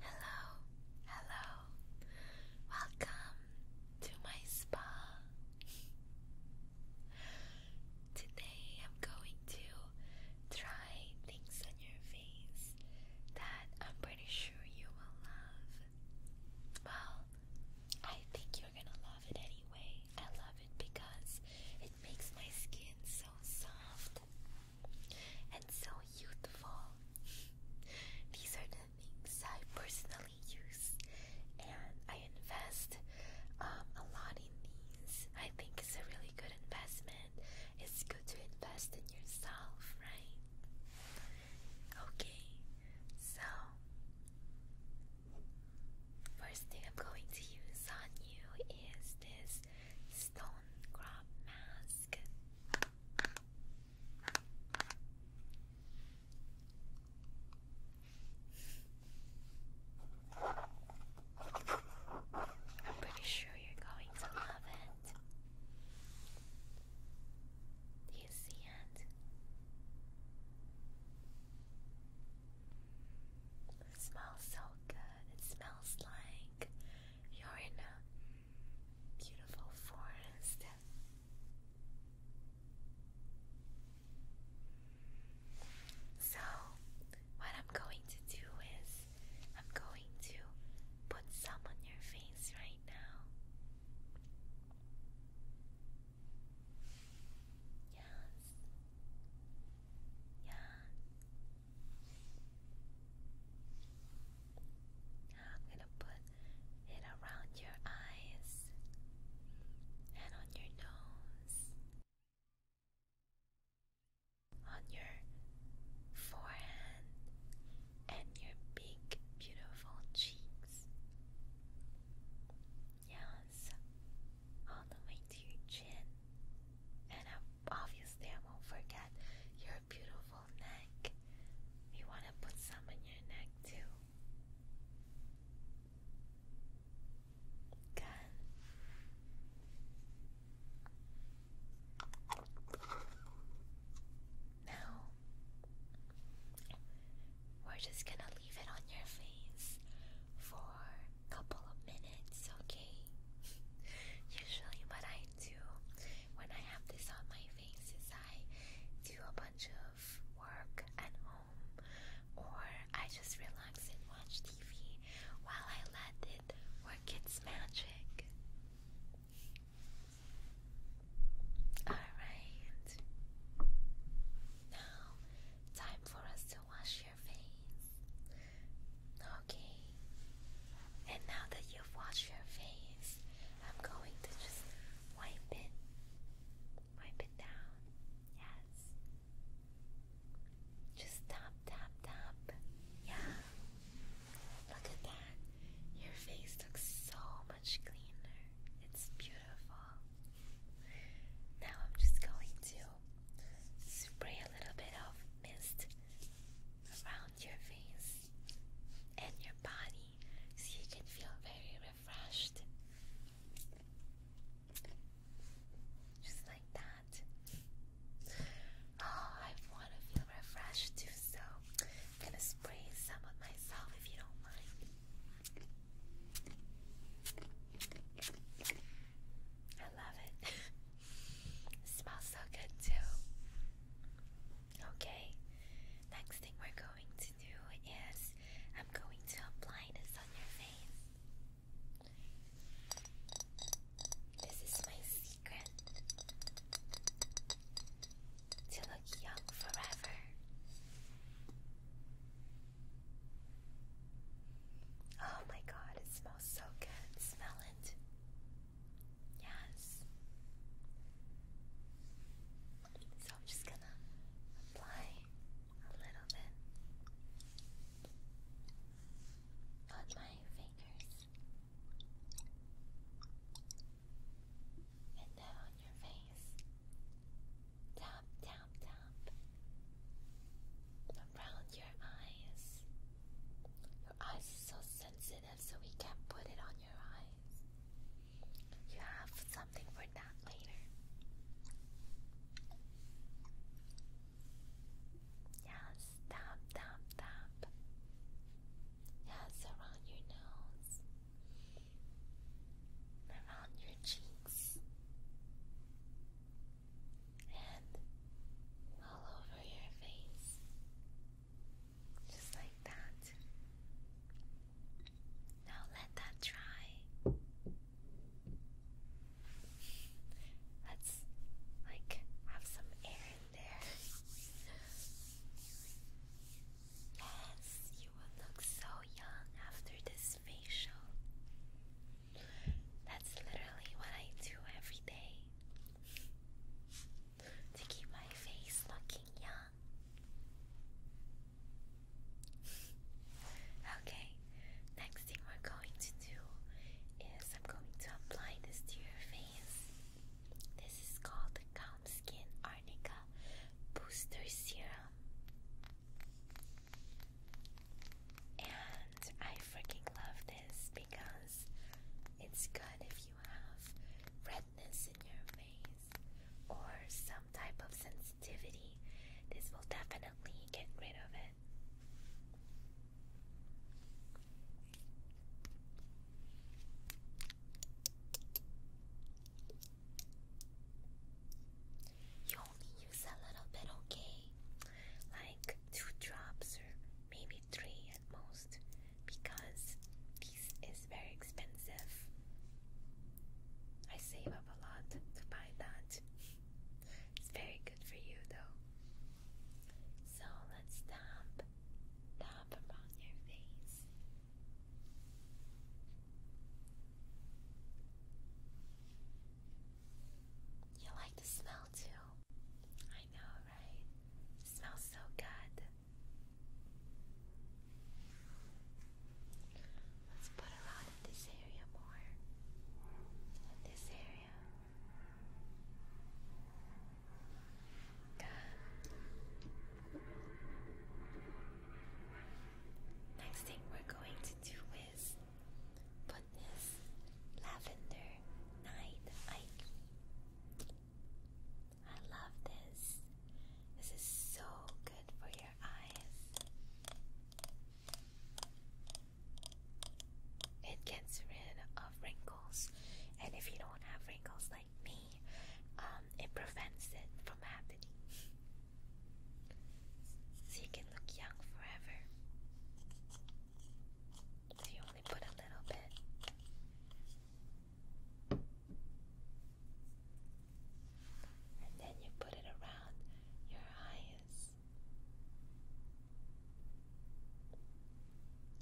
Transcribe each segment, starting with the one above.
Hello, hello, welcome to my spa. Today I'm going to try things on your face that I'm pretty sure you will love. Well, I think you're gonna love it anyway. I love it because makes my skin so soft and so youthful. These are the things I personally use, and I invest um, a lot in these. I think it's a really good investment. It's good to invest in yourself, right? Okay, so First thing I'm going to use on you is this stone mask. I'm pretty sure you're going to love it. Do you see it? smells so good. It smells like you're in a beautiful forest. So, what I'm going to do is I'm going to put some on your face right now. Yes. Yeah. Now I'm gonna put it around your eyes and on your nose, on your forehead, and your big, beautiful cheeks. Yes, all the way to your chin. And obviously, I won't forget your beautiful neck. We want to put some in your neck too. Good. Now, we're just gonna leave it on your face for a couple of minutes, okay? Usually, what I do when I have this on my face is I do a bunch of work at home, or I just relax and watch TV while I let it work its magic. Alright. Now, time for us to wash your face. Okay. And now that you've washed your face, I'm going to just wipe it. Wipe it down. Yes. Just tap, tap, tap. Yeah. Look at that. Your face looks so much cleaner. It's beautiful. Now I'm just going to spray a little bit of mist around your face and your body so you can feel very refreshed. Just like that. Oh, I want to feel refreshed too so gonna spray some on myself if you don't mind. I love it smells so good too. Okay, next thing we're going to do is I'm going to apply this on your face. This is my secret to look young forever. Oh my god, it smells so good. Smell it. Yes. So I'm just gonna apply a little bit on my fingers and now on your face. Tap, tap, tap. Around your eyes. Your eyes are so sensitive, so we can't put it on your eyes. You have something for that later. Yes, tap, tap, tap. Yes, around your nose, around your cheeks, and all over your face, just like that. Now let that dry. Let's like have some air in there. Yes, you will look so young after this facial. That's literally what I do every day to keep my face looking young. okay, next thing we're going to is I'm going to apply this to your face. This is called the Calm Skin Arnica Booster Serum. And I freaking love this because it's good if you have redness in your face or some type of sensitivity. This will definitely get rid of it. You only use a little bit, okay? Like two drops or maybe three at most, because this is very expensive. I save up a lot to buy that. It's very good for you though. So let's tap, tap around your face. You like the smell too. I know, right? smells so good. Let's put around in this area more. this area. Next thing we're going to do is put this lavender night eye. I love this. This is so good for your eyes. It gets rid of wrinkles, and if you don't have wrinkles like me, um, it prevents it from happening. So you can look young forever. you only put a little bit. And then you put it around your eyes.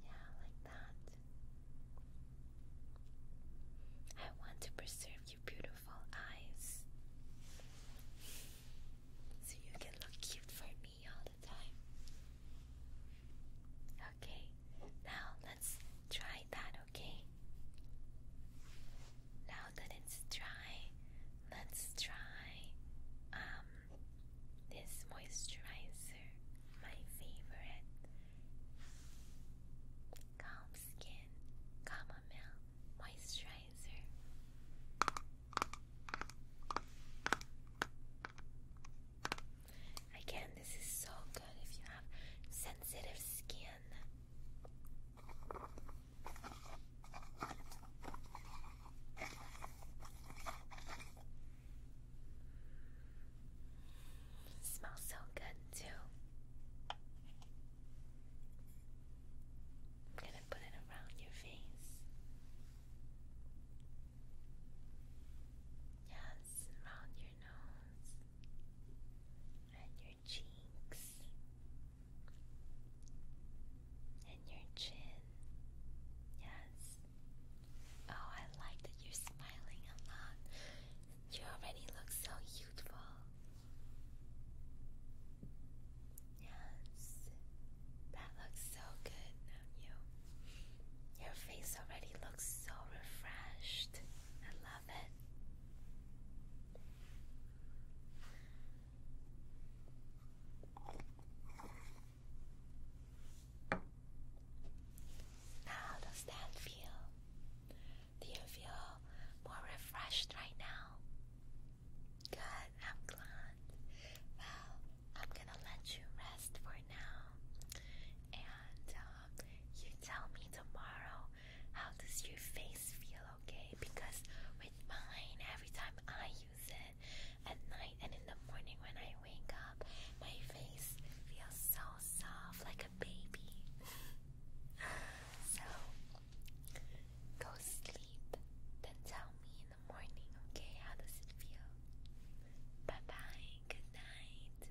Yeah, like that. I want to preserve your beautiful eyes so you can look cute for me all the time. Okay, now let's try that, okay? Now that it's dry, let's try um, this moisturizer, my favorite. Calm Skin Chamomile Moisturizer. Again, this is so good if you have sensitive skin. Smells so good too. I'm gonna put it around your face. Yes, around your nose and your cheeks and your chin. Yes. Oh, I like that you're smiling a lot. You already look so youthful. Yes. That looks so good on you. Your face already looks so refreshed. I love it. How does that feel? Do you feel more refreshed right now? Good, I'm glad. Well, I'm gonna let you rest for now, and uh, you tell me tomorrow how does your face feel okay because with mine every time I use it at night and in the morning when I wake up my face feels so soft like a baby so go sleep then tell me in the morning okay how does it feel bye bye good night